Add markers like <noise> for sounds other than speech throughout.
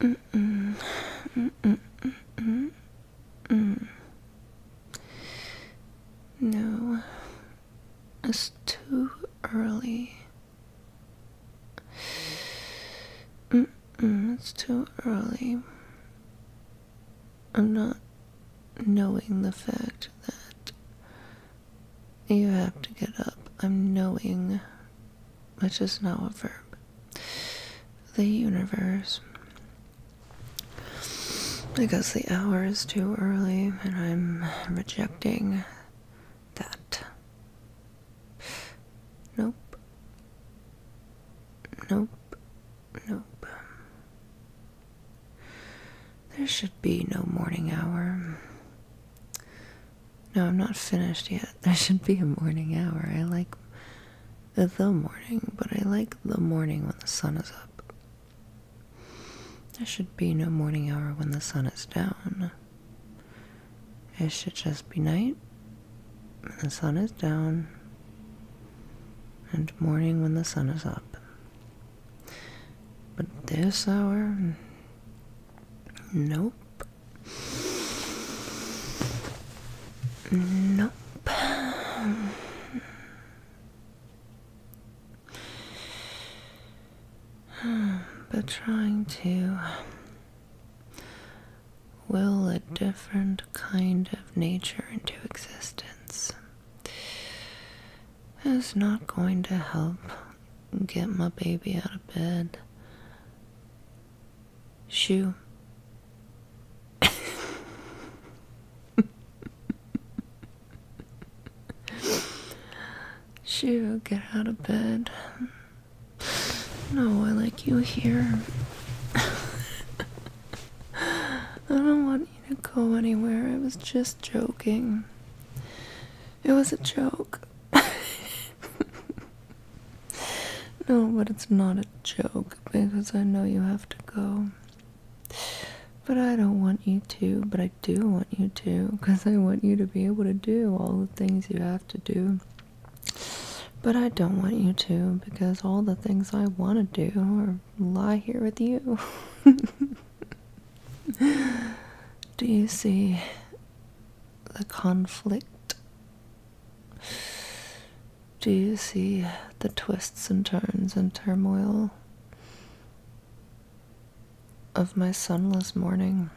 no, it's too early. it's too early. I'm not knowing the fact that you have to get up. I'm knowing which is now a verb. The universe. Because the hour is too early and I'm rejecting that. Nope. Nope. Nope. There should be no morning hour. No, I'm not finished yet. <laughs> There should be a morning hour. I like the, morning, but I like the morning when the sun is up. There should be no morning hour when the sun is down. It should just be night when the sun is down and morning when the sun is up. But this hour, nope. No, But trying to will a different kind of nature into existence is not going to help get my baby out of bed. Shoo. Shoo, get out of bed. No, I like you here. I don't want you to go anywhere. I was just joking. It was a joke. <laughs> no, but it's not a joke because I know you have to go. But I don't want you to, but I do want you to because I want you to be able to do all the things you have to do. But I don't want you to because all the things I want to do are lie here with you. <laughs> do you see? the conflict? Do you see the twists and turns and turmoil of my sunless morning?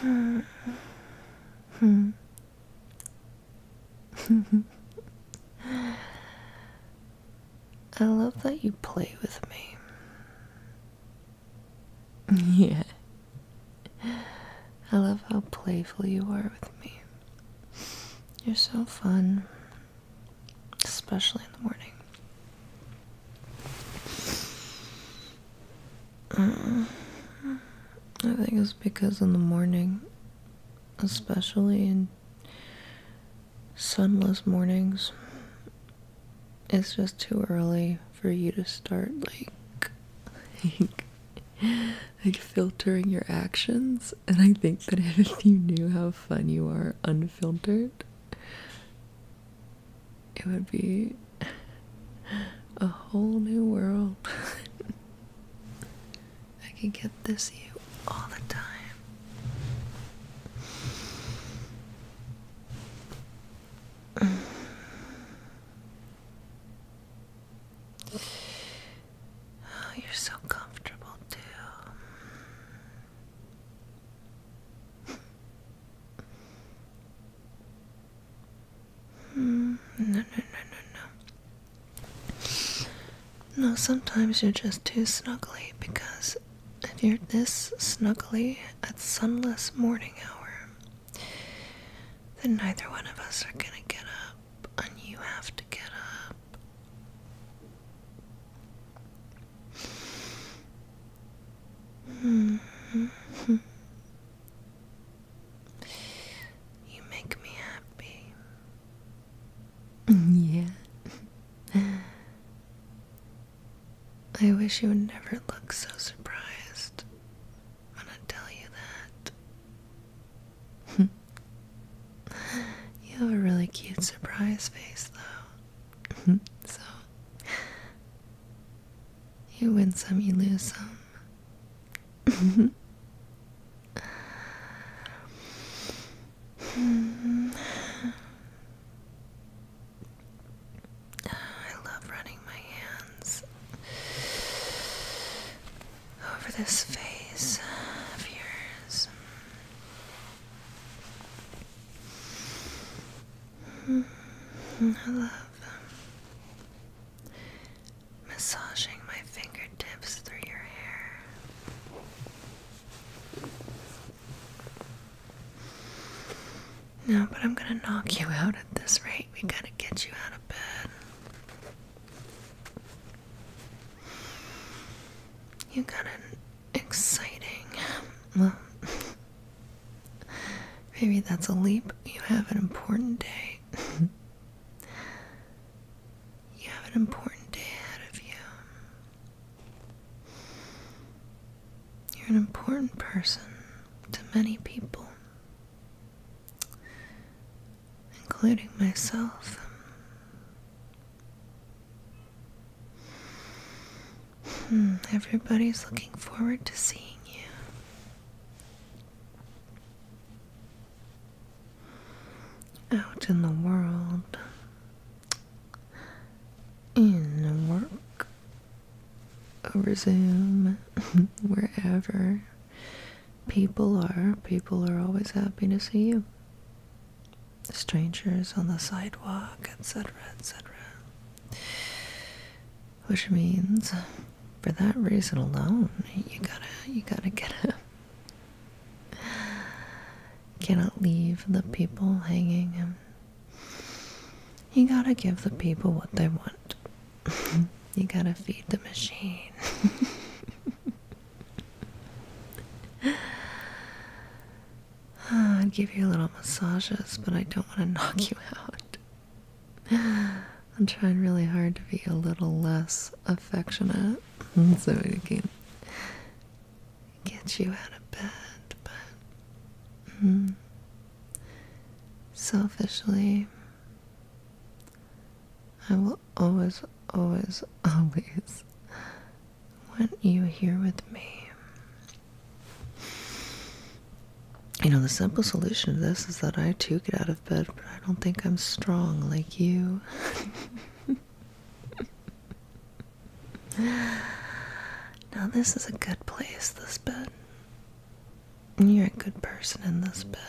Hmm. <laughs> <laughs> I love that you play with me. <laughs> yeah. I love how playful you are with me. You're so fun, especially in the morning. Mm. I think it's because in the morning, especially in sunless mornings, it's just too early for you to start like, like like filtering your actions and I think that <laughs> if you knew how fun you are unfiltered it would be a whole new world. <laughs> I can get at this you all the time. Oh, you're so comfortable too. no, no, no, no, no. No, sometimes you're just too snuggly because if you're this snuggly at sunless morning hour, then neither one of us are gonna get up, and you have to get up. <laughs> You make me happy yeah. I wish you would never look so surprised when I tell you that. you have a really cute surprise face, though. so, you win some, you lose some. Hmm. <sighs> I love running my hands over this face of yours. I love um, massaging my fingertips through your hair. No, but I'm gonna knock you out at this rate. We gotta get you out of bed. You got an exciting. Well, <laughs> maybe that's a leap. You have an important day. <laughs> You have an important day ahead of you. You're an important person to many people, including myself. Hmm, everybody's looking forward to seeing you out in the world, in work, over Zoom, <laughs> wherever people are, people are always happy to see you. Strangers on the sidewalk, etc., etc. Which means, for that reason alone, you gotta, you gotta get up <sighs> Cannot leave the people hanging. You gotta give the people what they want. <laughs> you gotta feed the machine. <laughs> Ah, I'd give you little massages, but I don't want to knock you out. <sighs> I'm trying really hard to be a little less affectionate. <laughs> so it can get you out of bed, but mm, selfishly, I will always, always, always want you here with me. You know, the simple solution to this is that I too get out of bed but I don't think I'm strong like you. <laughs> now, this is a good place, this bed. You're a good person in this bed.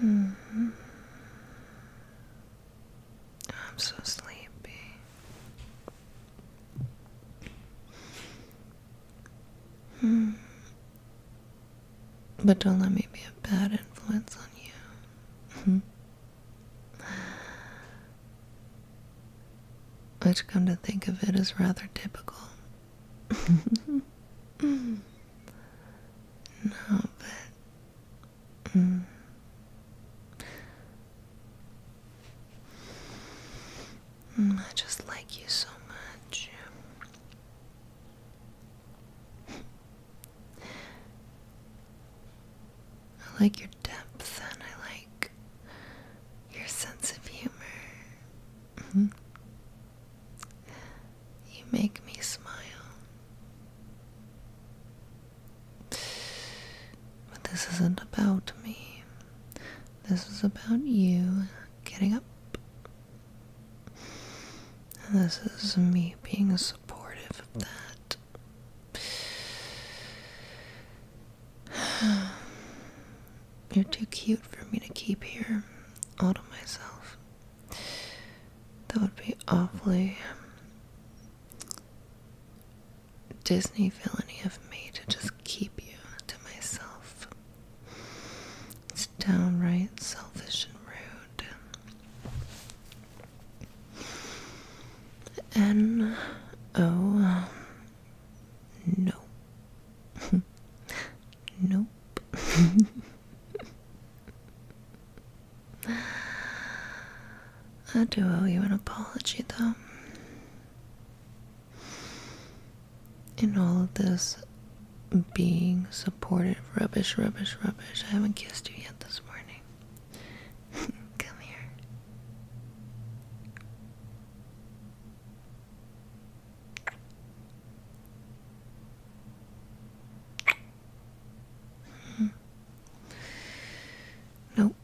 Hmm. I'm so sleepy. Hmm. But don't let me be a bad influence on you. Which, hmm. come to think of it, is rather typical. <laughs> no, but. Hmm. Mm, I just like you so much. I like your depth and I like your sense of humor. Mm-hmm. You make me smile. But this isn't about me. This is about you getting up. this is me being supportive of that. <sighs> You're too cute for me to keep here all to myself. That would be awfully Disney villainy of me to just keep you to myself. It's downright selfish and rude. N O no. Um, nope. I do owe you an apology though. And all of this being supported rubbish, rubbish, rubbish. I haven't kissed you yet this morning. <laughs> Come here. Hmm. Nope,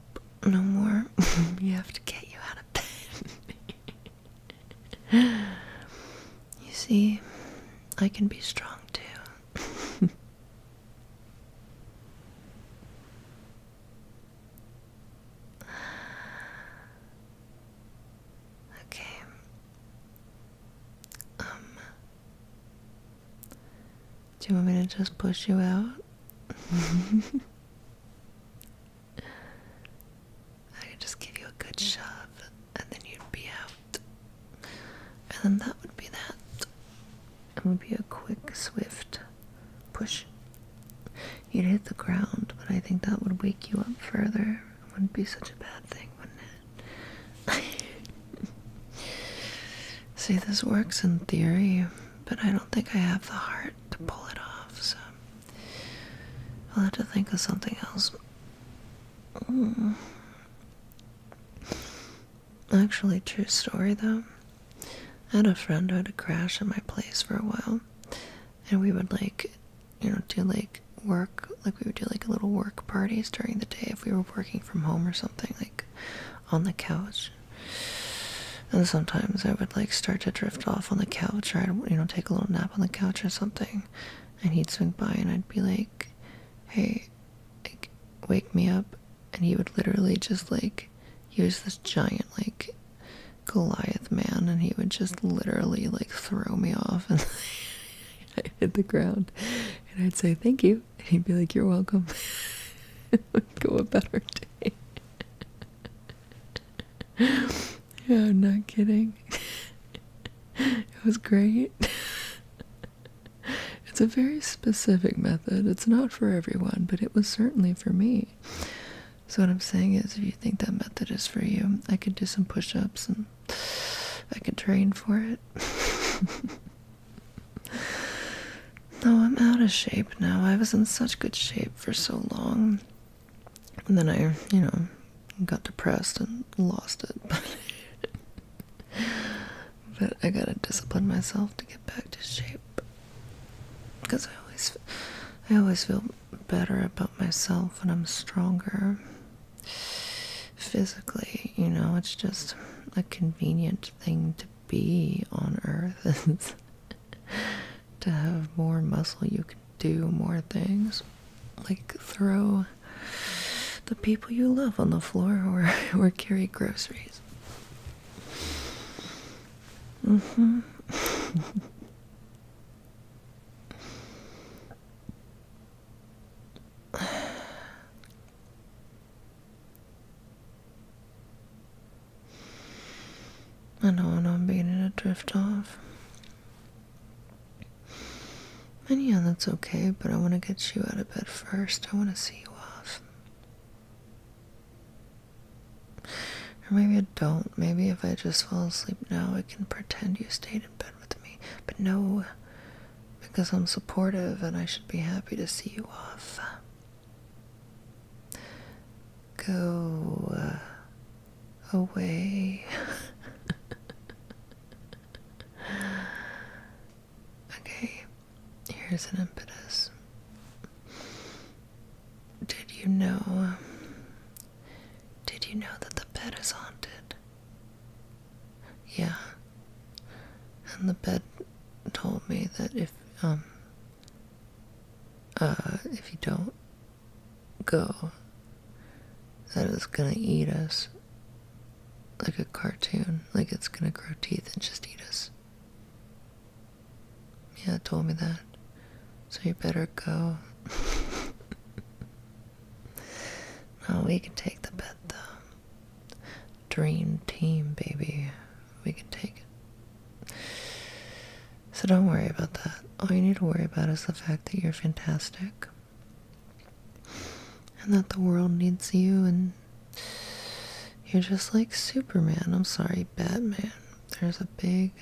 no more. <laughs> you have to get you out of bed. <laughs> you see, I can be strong too. <laughs> okay. Um do you want me to just push you out? I could just give you a good shove, and then you'd be out. And then that would be that. It would be a quick, swift push. You'd hit the ground, but I think that would wake you up further. It wouldn't be such a bad thing, wouldn't it? <laughs> See, this works in theory but I don't think I have the heart to pull it off, so I'll have to think of something else. Mm. Actually, true story though. I had a friend who had a crash at my place for a while, and we would like, you know, do like work, like we would do like little work parties during the day if we were working from home or something, like on the couch. And sometimes I would like start to drift off on the couch, or I'd you know take a little nap on the couch or something, and he'd swing by and I'd be like, "Hey, like, wake me up," and he would literally just like he was this giant like Goliath man, and he would just literally like throw me off <laughs> and I <laughs> hit the ground, and I'd say thank you, and he'd be like, You're welcome. Would go about our day. <laughs> yeah, I'm not kidding. <laughs> it was great. <laughs> it's a very specific method. It's not for everyone, but it was certainly for me. So what I'm saying is if you think that method is for you, I could do some push-ups and I could train for it. No, I'm out of shape now. I was in such good shape for so long. And then I, you know, got depressed and lost it. <laughs> But, I gotta discipline myself to get back to shape. Because I always, I always feel better about myself when I'm stronger. Physically, you know, it's just a convenient thing to be on earth is <laughs> to have more muscle you can do more things like throw the people you love on the floor or or carry groceries mm-hmm I know what I'm beginning to drift off. And yeah, that's okay, but I want to get you out of bed first. I want to see you off. Or maybe I don't. Maybe if I just fall asleep now, I can pretend you stayed in bed with me. But no, because I'm supportive and I should be happy to see you off. Go uh, away. <laughs> okay, here's an impetus. Did you know? Did you know that the bed is haunted? Yeah, and the bed told me that if um uh if you don't go that it's gonna eat us like a cartoon like it's gonna grow teeth and just eat us yeah told me that so you better go no <laughs> we can take the bed though Dream team, baby. We can take it. So don't worry about that. All you need to worry about is the fact that you're fantastic. And that the world needs you, and you're just like Superman. I'm sorry, Batman. There's a big,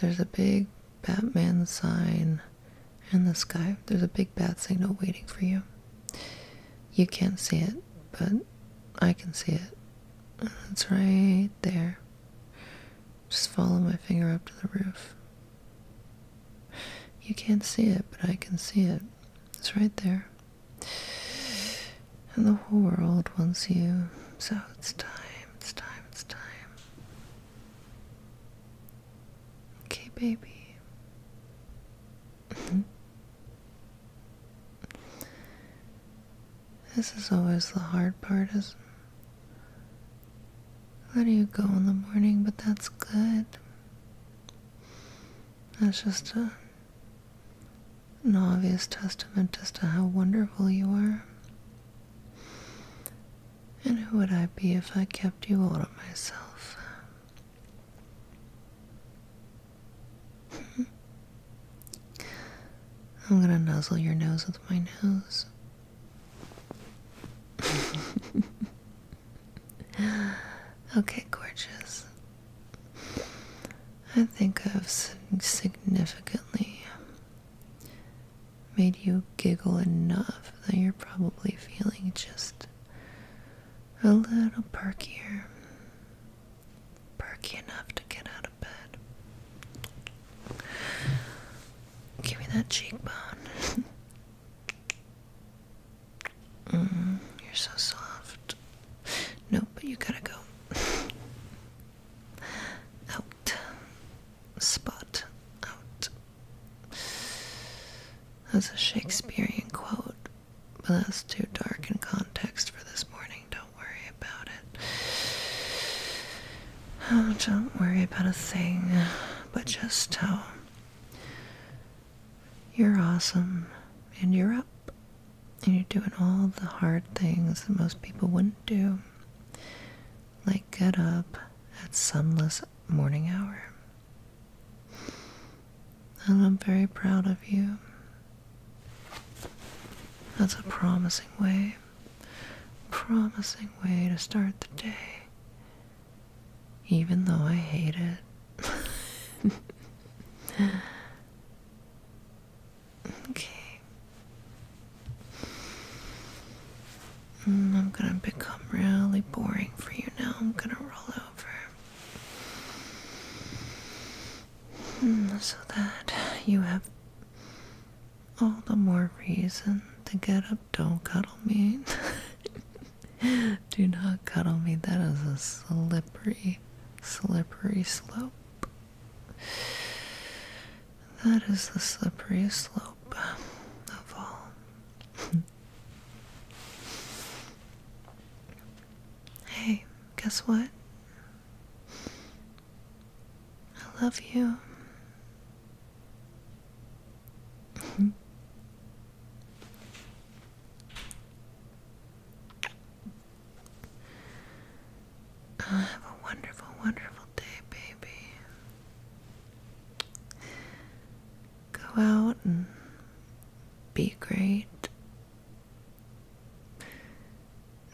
there's a big Batman sign in the sky. There's a big bad signal waiting for you. You can't see it, but I can see it. It's right there. Just follow my finger up to the roof. You can't see it, but I can see it. It's right there. And the whole world wants you, so it's time, it's time, it's time. Okay, baby. Mm-hmm. this is always the hard part, isn't do you go in the morning, but that's good. That's just a, an obvious testament as to how wonderful you are. And who would I be if I kept you all to myself? <laughs> I'm gonna nuzzle your nose with my nose. <laughs> okay, gorgeous. I think I've significantly made you giggle enough that you're probably feeling just a little perkier. Perky enough to get out of bed. Give me that cheekbone. <laughs> Mm, you're so soft. No, but you gotta go. <laughs> Out. Spot. Out. That's a Shakespearean quote, but that's too dark in context for this morning. Don't worry about it. Oh, don't worry about a thing, but just how you're awesome and you're up and you're doing all the hard things that most people wouldn't do, like get up at sunless morning hour and I'm very proud of you. That's a promising way. Promising way to start the day. Even though I hate it. <laughs> okay. Mm, I'm gonna become really boring for you now. I'm gonna roll over mm, so that you have all the more reason to get up. Don't cuddle me. <laughs> Do not cuddle me. That is a slippery, slippery slope. That is the slippery slope of all hey, guess what? I love you. <laughs> Have a wonderful, wonderful day, baby. Go out and be great.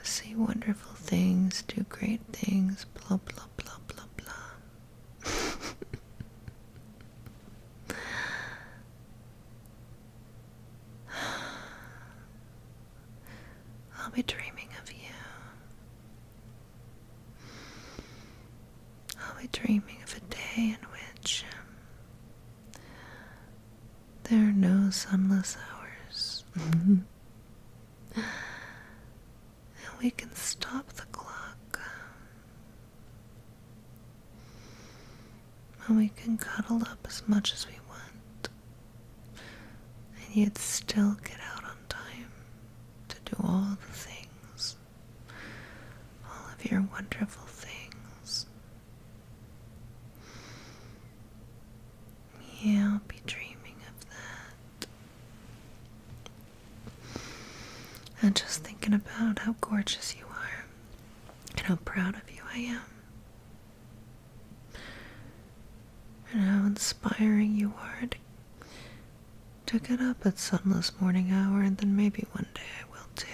See wonderful things, do great things, blah, blah, blah, blah, blah. <sighs> I'll be dreaming of you. Are we dreaming of a day in which um, there are no sunless hours. <laughs> and we can stop the clock. Um, and we can cuddle up as much as we want. And yet still get out on time to do all the things, all of your wonderful things. Yeah, I'll be dreaming of that. And just thinking about how gorgeous you are and how proud of you I am. And how inspiring you are to get up at sunless morning hour, and then maybe one day I will too.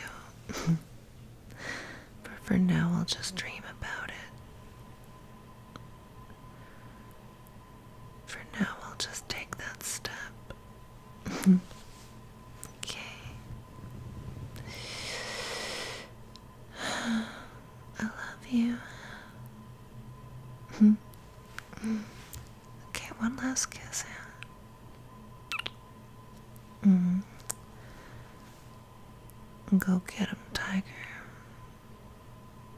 <laughs> but for now, I'll just dream about it. For now, I'll just take that step. <laughs> okay. <sighs> I love you. <laughs> Okay, one last kiss. Yeah. Mm. Go get him, tiger.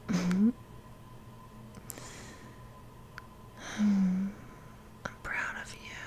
Mm. I'm proud of you.